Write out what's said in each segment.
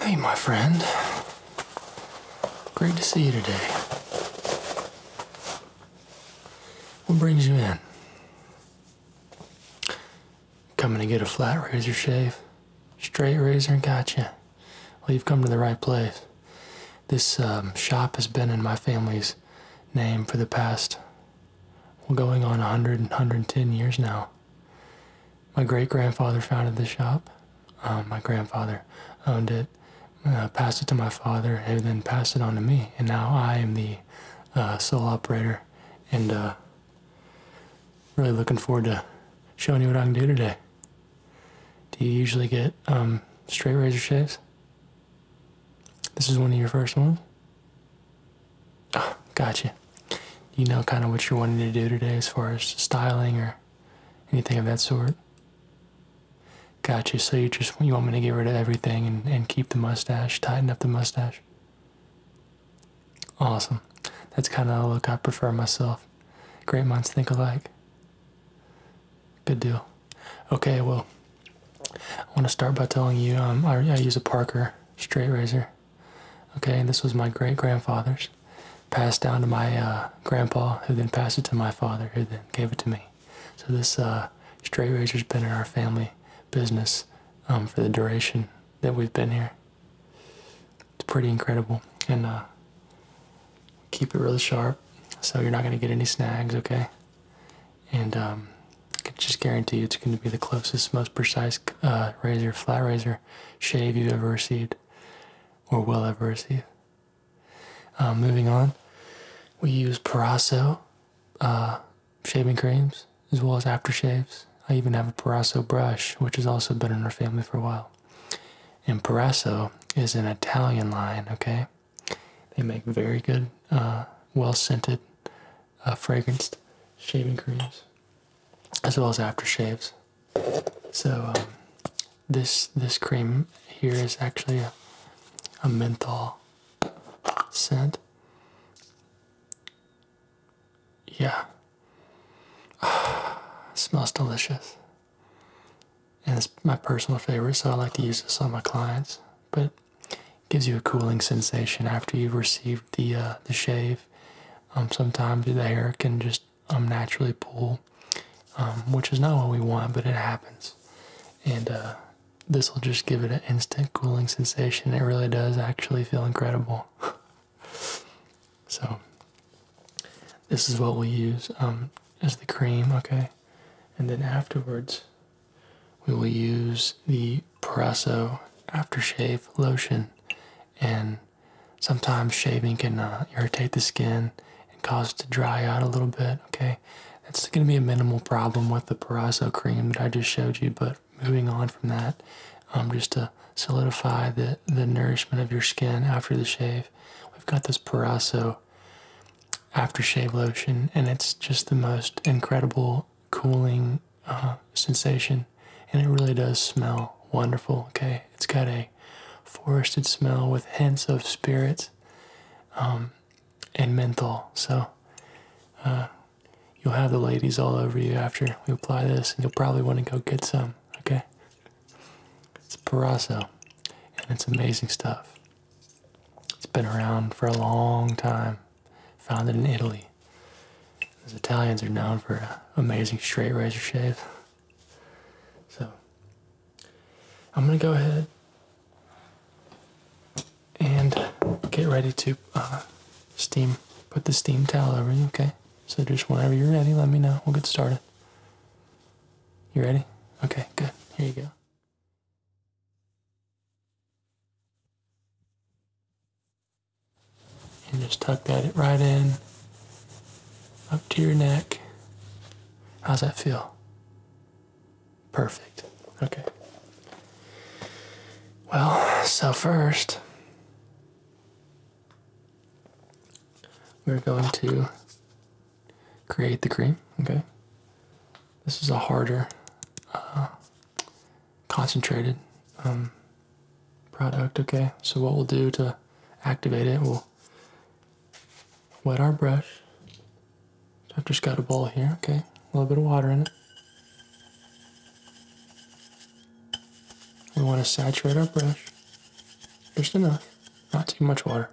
Hey, my friend. Great to see you today. What brings you in? Coming to get a flat razor shave? Straight razor? and Gotcha. Well, you've come to the right place. This um, shop has been in my family's name for the past, well, going on 100, 110 years now. My great grandfather founded the shop. Um, my grandfather owned it, uh, passed it to my father, and then passed it on to me. And now I am the uh, sole operator and uh, really looking forward to showing you what I can do today. Do you usually get um, straight razor shaves? This is one of your first ones? Oh, gotcha. You know kind of what you're wanting to do today as far as styling or anything of that sort? Gotcha. So you just you want me to get rid of everything and, and keep the mustache, tighten up the mustache? Awesome. That's kind of the look I prefer myself. Great minds think alike. Good deal. Okay, well, I want to start by telling you um, I, I use a Parker straight razor. Okay, this was my great grandfather's, passed down to my uh, grandpa, who then passed it to my father, who then gave it to me. So this uh, straight razor's been in our family business um, for the duration that we've been here. It's pretty incredible, and uh, keep it really sharp, so you're not going to get any snags. Okay, and um, just guarantee you going to be the closest, most precise uh, razor, flat razor shave you've ever received or will ever receive. Uh, moving on, we use Parasso uh, shaving creams as well as aftershaves. I even have a Parasso brush, which has also been in our family for a while. And Parasso is an Italian line, okay? They make very good, well scented uh, fragranced shaving creams as well as aftershaves. So um, this this cream here is actually a, a menthol scent. Yeah, smells delicious, and it's my personal favorite. So I like to use this on my clients, but. Gives you a cooling sensation after you've received the uh, the shave, um, sometimes the hair can just um, naturally pull, um, which is not what we want, but it happens. And uh, this will just give it an instant cooling sensation. It really does actually feel incredible. so, this is what we use um, as the cream, okay? And then afterwards, we will use the Parasso aftershave lotion, and sometimes shaving can uh, irritate the skin and cause it to dry out a little bit. Okay, that's going to be a minimal problem with the Parasso cream that I just showed you. But moving on from that, um, just to solidify the the nourishment of your skin after the shave, we've got this Parasso aftershave lotion, and it's just the most incredible cooling uh, sensation, and it really does smell wonderful. Okay, it's got a forested smell with hints of spirits um, and menthol. So uh, you'll have the ladies all over you after we apply this, and you'll probably want to go get some. Okay, it's Parasso, and it's amazing stuff. It's been around for a long time, founded in Italy. Those Italians are known for amazing straight razor shave. So I'm gonna go ahead and get ready to uh, steam, put the steam towel over you, okay? So just whenever you're ready, let me know. We'll get started. You ready? Okay, good. Here you go and just tuck that right in up to your neck. How's that feel? Perfect. Okay. Well, so first, we're going to create the cream, okay? This is a harder uh, concentrated um, product. Okay, so what we'll do to activate it, we'll wet our brush. I've just got a bowl here, okay, a little bit of water in it. We want to saturate our brush, just enough, not too much water.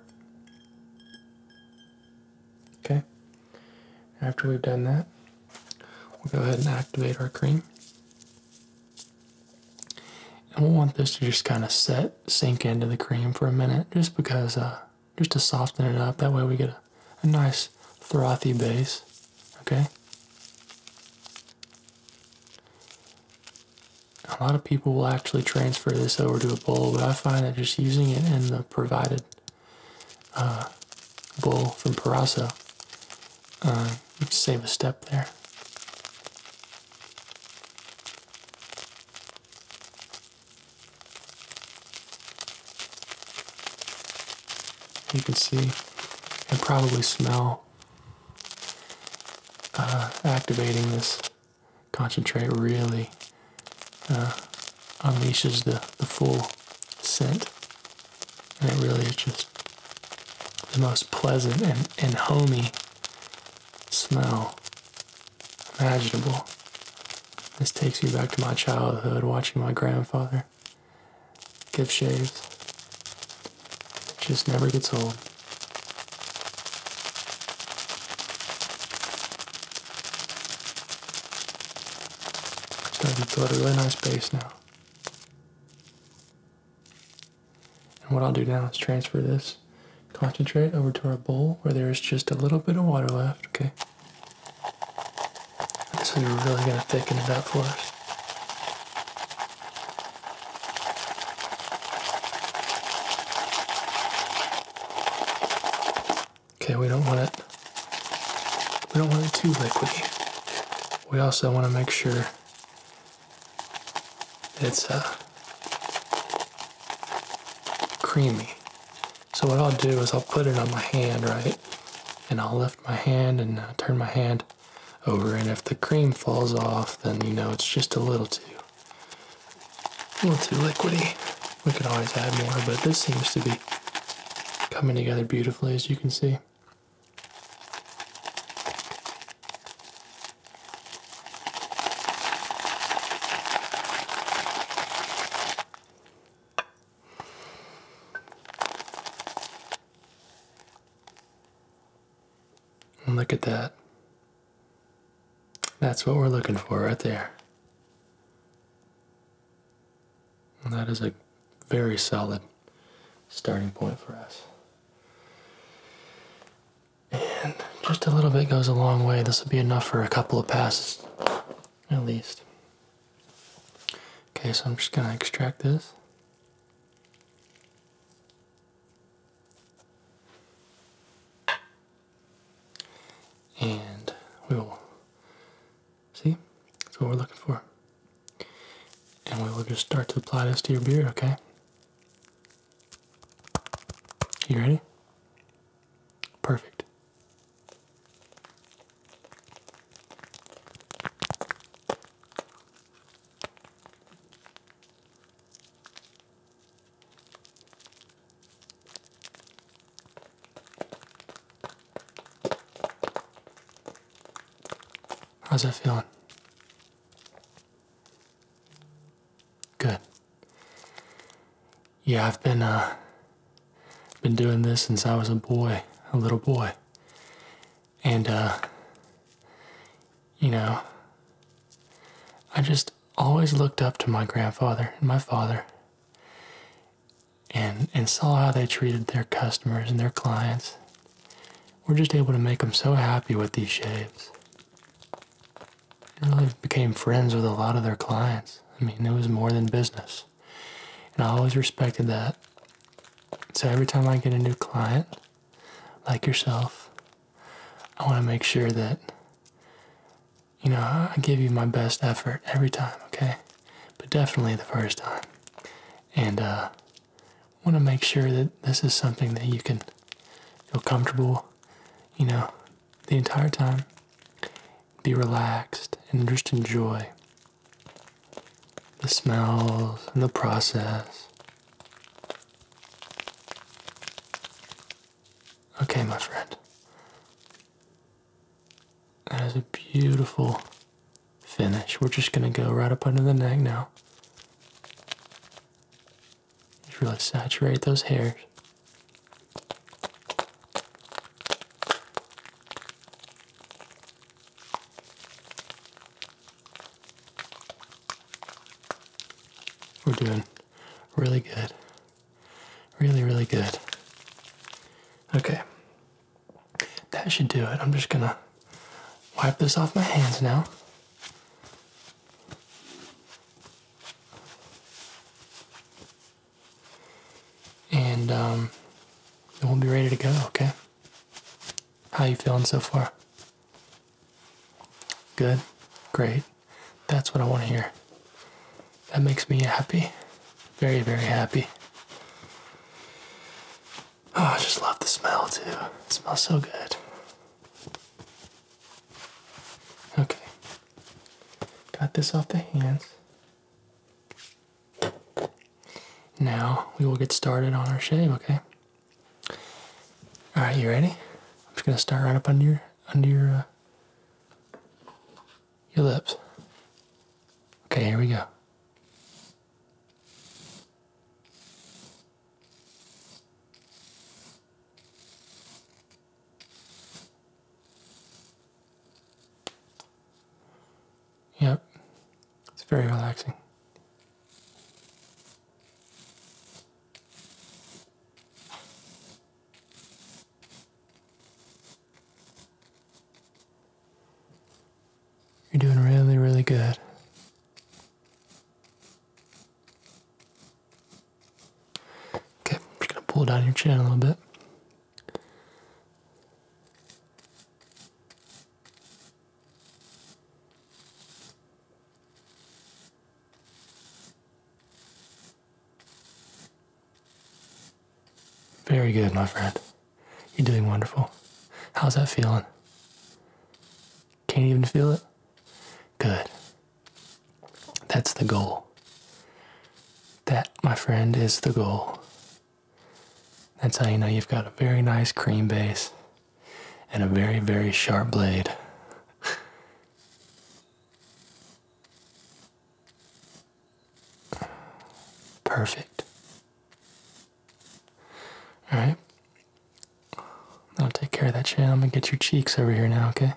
Okay, after we've done that, We'll go ahead and activate our cream. And we'll want this to just kind of set, sink into the cream for a minute, just because, uh, just to soften it up. That way we get a, nice frothy base, okay? A lot of people will actually transfer this over to a bowl, but I find that just using it in the provided uh, bowl from Parasso uh, save a step there. You can see and probably smell uh, activating this concentrate really uh, unleashes the, the full scent. And it really is just the most pleasant and, and homey smell imaginable. This takes me back to my childhood watching my grandfather give shaves. It just never gets old. starting to build a really nice base now. And what I'll do now is transfer this concentrate over to our bowl where there is just a little bit of water left, okay? This is really going to thicken it up for us. Okay, we don't want it. We don't want it too liquidy we also want to make sure it's uh, creamy. So what I'll do is I'll put it on my hand, right? And I'll lift my hand and uh, turn my hand over. And if the cream falls off, then you know it's just a little too, a little too liquidy. We can always add more, but this seems to be coming together beautifully, as you can see. Look at that. That's what we're looking for right there that is a very solid starting point for us. And just a little bit goes a long way. This will be enough for a couple of passes, at least. Okay, so I'm just going to extract this. And we will See? That's what we're looking for. And we will just start to apply this to your beard, okay? You ready? Perfect. How's that feeling? Good. Yeah, I've been uh been doing this since I was a boy, a little boy. And uh you know, I just always looked up to my grandfather and my father and and saw how they treated their customers and their clients. We're just able to make them so happy with these shaves. I really became friends with a lot of their clients. I mean, it was more than business. And I always respected that. So every time I get a new client, like yourself, I want to make sure that, you know, I give you my best effort every time, okay? But definitely the first time and uh, want to make sure that this is something that you can feel comfortable, you know, the entire time. Be relaxed and just enjoy the smells and the process. Okay, my friend. That is a beautiful finish. We're just going to go right up under the neck now. Just really saturate those hairs. We're doing really good. Really, really good. Okay. That should do it. I'm just gonna wipe this off my hands now. And um, we'll be ready to go, okay? How you feeling so far? Good? Great. That's what I want to hear. That makes me happy. Very, very happy. Oh, I just love the smell too. It smells so good. Okay. Got this off the hands. Now we will get started on our shave, okay? Alright, you ready? I'm just gonna start right up under your under your uh, your lips. Okay, here we go. Yep, it's very relaxing. You're doing really, really good. Okay, I'm just gonna pull down your chin a little bit. Very good, my friend. You're doing wonderful. How's that feeling? Can't even feel it? Good. That's the goal. That, my friend, is the goal. That's how you know you've got a very nice cream base and a very, very sharp blade. Perfect. Alright? I'll take care of that shit. I'm gonna get your cheeks over here now, okay?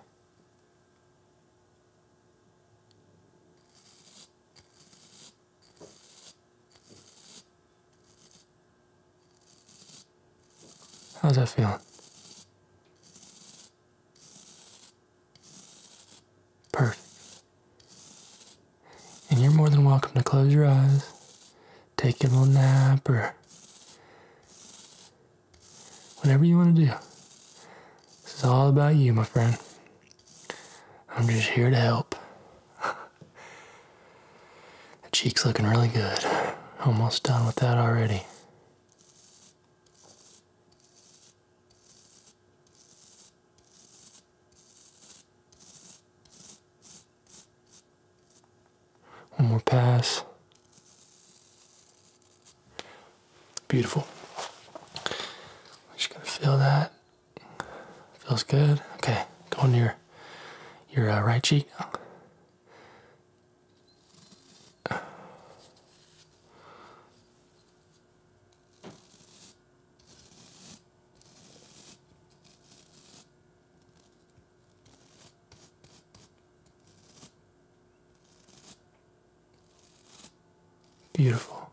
How's that feeling? Perfect. And you're more than welcome to close your eyes, take a little nap, or whatever you want to do. This is all about you, my friend. I'm just here to help. the cheek's looking really good. Almost done with that already. One more pass. Beautiful. Just gonna feel that. Feels good. Okay, go on your your uh, right cheek. Beautiful.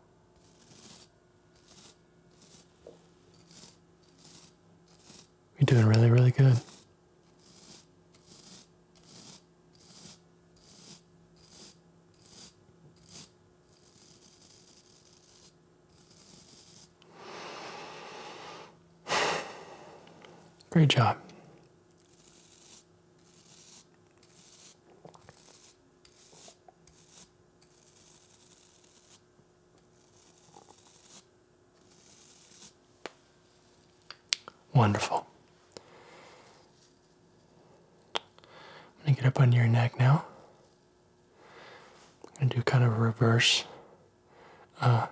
You're doing really, really good. Great job. Wonderful. I'm going to get up under your neck now. I'm gonna do kind of a reverse, uh,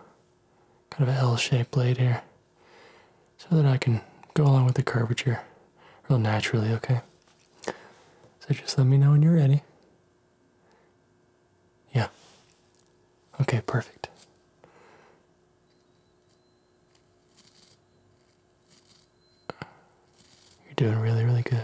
kind of an L-shaped blade here, so that I can go along with the curvature real naturally, okay? So just let me know when you're ready. Yeah. Okay, perfect. You're doing really, really good.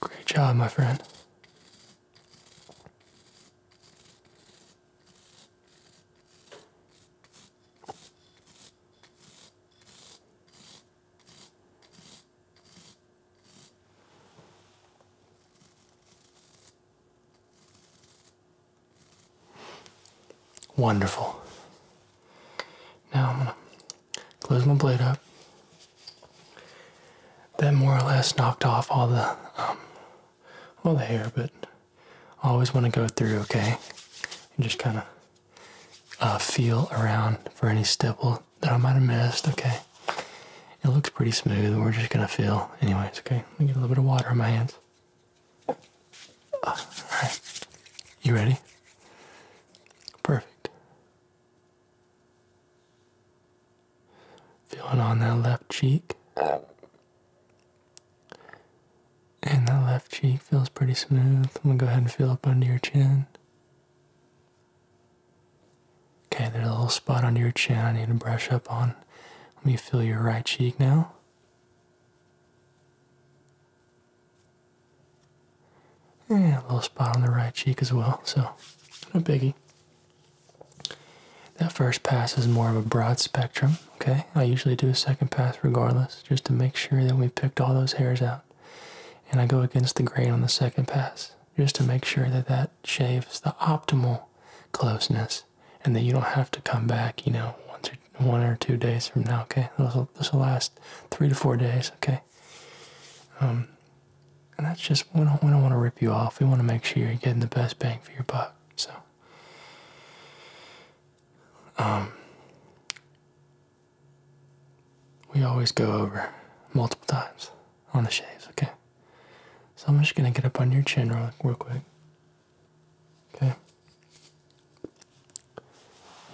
Great job, my friend. Wonderful. Now I'm going to close my blade up. That more or less knocked off all the, um, all the hair, but I always want to go through, okay? And just kind of uh, feel around for any stipple that I might have missed, okay? It looks pretty smooth. We're just going to feel anyways, okay? Let me get a little bit of water on my hands. Alright. You ready? Perfect. Feeling on that left cheek. And that left cheek feels pretty smooth. I'm gonna go ahead and feel up under your chin. Okay, there's a little spot under your chin I need to brush up on. Let me feel your right cheek now. And a little spot on the right cheek as well, so no biggie. That first pass is more of a broad spectrum, okay? I usually do a second pass regardless, just to make sure that we picked all those hairs out. And I go against the grain on the second pass, just to make sure that that shaves the optimal closeness and that you don't have to come back, you know, once or one or two days from now. Okay, this will last three to four days. Okay, um, and that's just we don't we don't want to rip you off. We want to make sure you're getting the best bang for your buck. So, um, we always go over multiple times on the shaves. Okay, so I'm just gonna get up on your chin real, real quick. Okay.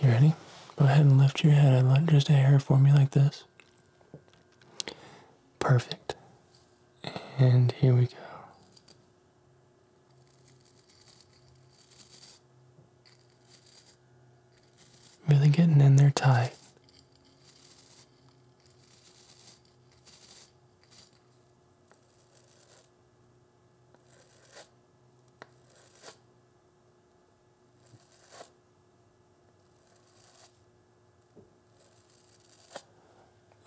You ready? Go ahead and lift your head and just a hair for me like this. Perfect. And here we go. Really getting in there tight.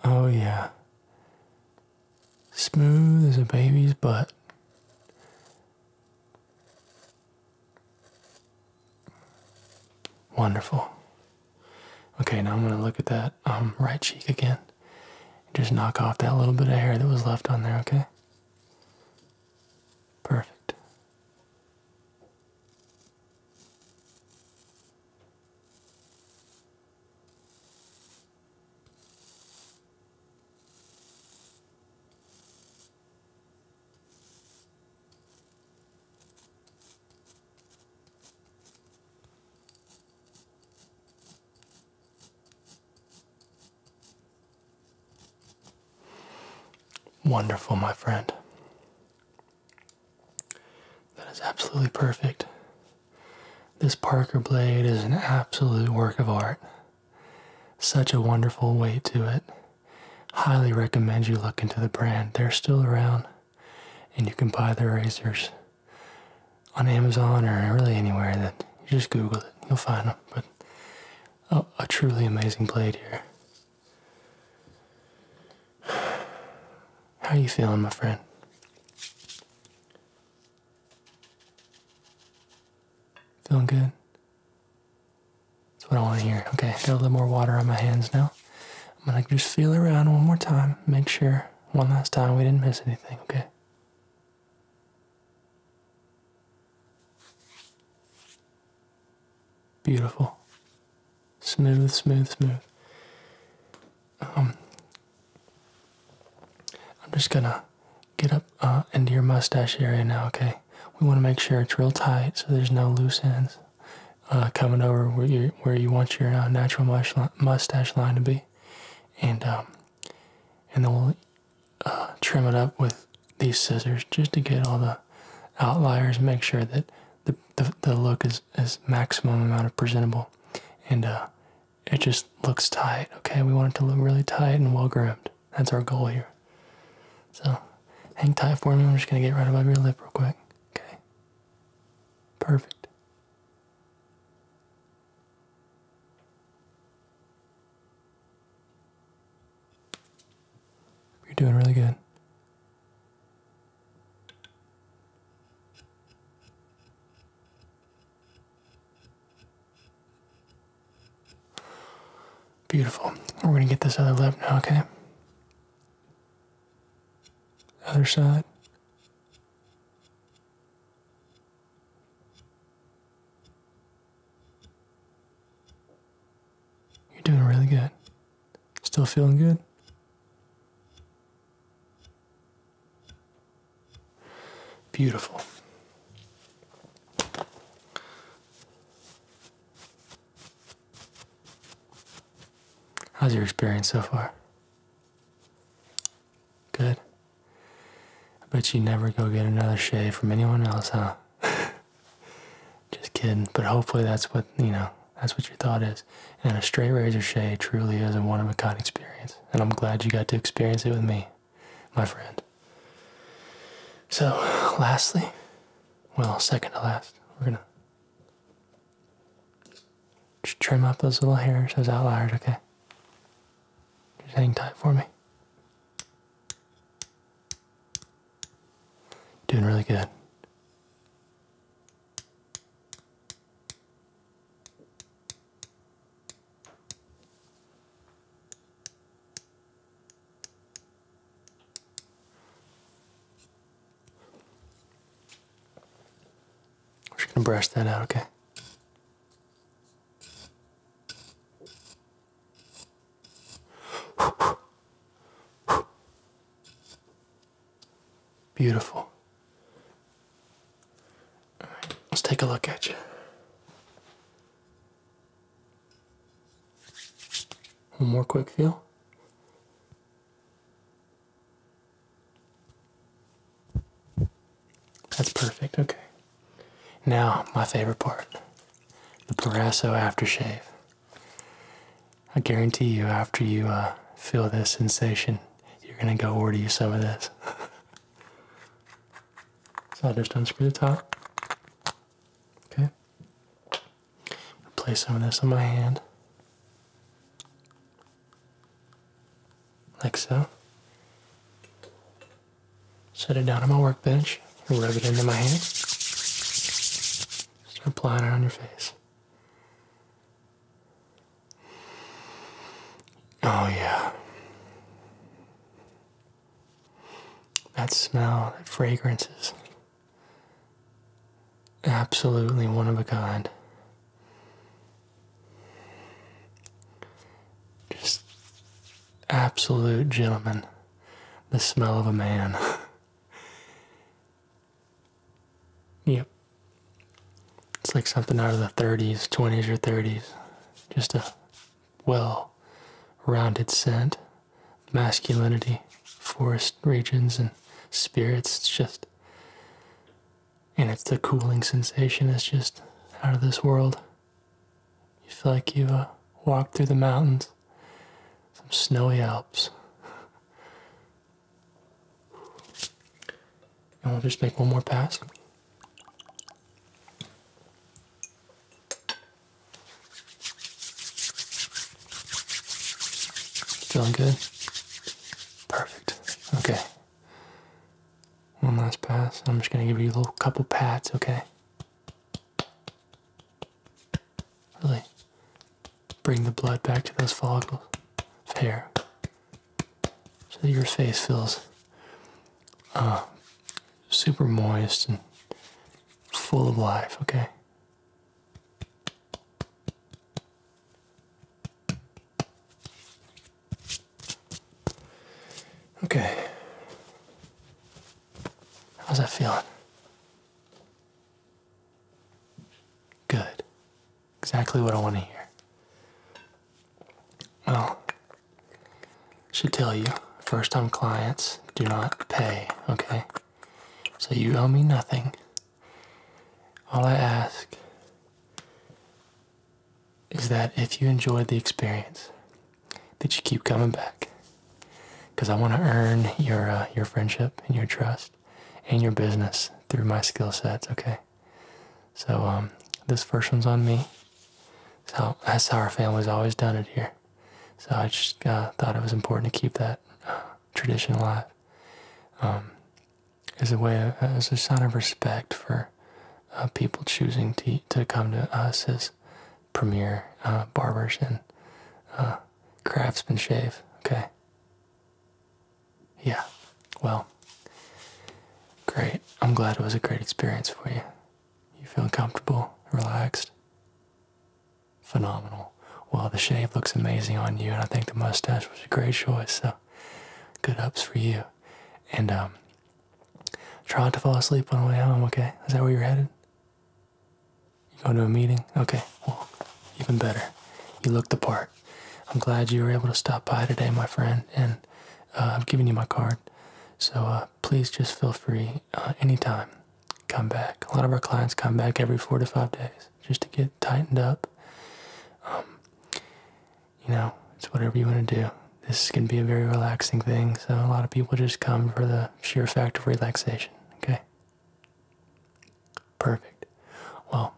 Oh, yeah. Smooth as a baby's butt. Wonderful. Okay, now I'm going to look at that um, right cheek again. Just knock off that little bit of hair that was left on there, okay? Perfect. Wonderful, my friend. That is absolutely perfect. This Parker blade is an absolute work of art. Such a wonderful weight to it. Highly recommend you look into the brand. They're still around and you can buy their razors on Amazon or really anywhere that you just Google it, you'll find them. But oh, a truly amazing blade here. How are you feeling, my friend? Feeling good? That's what I want to hear. Okay, got a little more water on my hands now. I'm gonna just feel around one more time, make sure one last time we didn't miss anything, okay? Beautiful. Smooth, smooth, smooth. Um, I'm just gonna get up uh, into your mustache area now, okay? We want to make sure it's real tight so there's no loose ends uh, coming over where you, where you want your uh, natural mustache line to be. And, um, and then we'll uh, trim it up with these scissors just to get all the outliers, make sure that the, the, look is, is maximum amount of presentable. And uh, it just looks tight, okay? We want it to look really tight and well groomed. That's our goal here. So hang tight for me. I'm just going to get right above your lip real quick. Okay. Perfect. You're doing really good. Beautiful. We're going to get this other lip now, okay? Other side. You're doing really good. Still feeling good? Beautiful. How's your experience so far? Good. I bet you never go get another shave from anyone else, huh? Just kidding. But hopefully that's what, you know, that's what your thought is. And a straight razor shave truly is a one of a kind experience. And I'm glad you got to experience it with me, my friend. So, lastly, well, second to last, we're gonna just trim up those little hairs, those outliers, okay? Just hang tight for me. Doing really good. We're just going to brush that out, okay? Beautiful. right, let's take a look at you. One more quick feel. That's perfect, okay. Now, my favorite part the Parasso aftershave. I guarantee you, after you uh, feel this sensation, you're gonna go order you some of this. so I'll just unscrew the top. Okay. Place some of this on my hand like so. Set it down on my workbench and rub it into my hands. Start applying it on your face. Oh, yeah. That smell, that fragrance is absolutely one of a kind. Just absolute gentleman. The smell of a man. yep. It's like something out of the 30s, 20s, or 30s. Just a well rounded scent. Masculinity, forest regions, and spirits. It's just. And it's the cooling sensation, it's just out of this world. You feel like you've uh, walked through the mountains, some snowy Alps. And we'll just make one more pass. Feeling good? Perfect. Okay. One last pass. I'm just going to give you a little couple pats, okay? Really bring the blood back to those follicles of hair so that your face feels uh, super moist and full of life, okay? Okay. How's that feeling? Good. Exactly what I want to hear. Well, should tell you, first time clients do not pay, okay? So you owe me nothing. All I ask is that if you enjoy the experience, that you keep coming back. Because I want to earn your uh, your friendship and your trust and your business through my skill sets. Okay, so um, this first one's on me. So how that's how our family's always done it here. So I just uh, thought it was important to keep that uh, tradition alive. Um, as a way, as a sign of respect for uh, people choosing to to come to us as premier uh, barbers and uh, craftsmen shave. Okay. Yeah. Well. Great. I'm glad it was a great experience for you. You feel comfortable, relaxed. Phenomenal. Well, the shave looks amazing on you, and I think the mustache was a great choice. So, good ups for you. And um, Try to fall asleep on the way home, okay? Is that where you're headed? You going to a meeting? Okay, well, even better. You look the part. I'm glad you were able to stop by today, my friend, and uh, I've given you my card. So uh, please just feel free uh, anytime. Come back. A lot of our clients come back every four to five days just to get tightened up. Um, you know, it's whatever you want to do. This can be a very relaxing thing, so a lot of people just come for the sheer fact of relaxation, okay? Perfect. Well,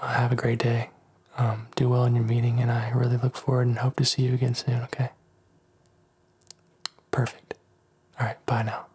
uh, have a great day. Um, do well in your meeting, and I really look forward and hope to see you again soon, okay? Perfect. All right, bye now.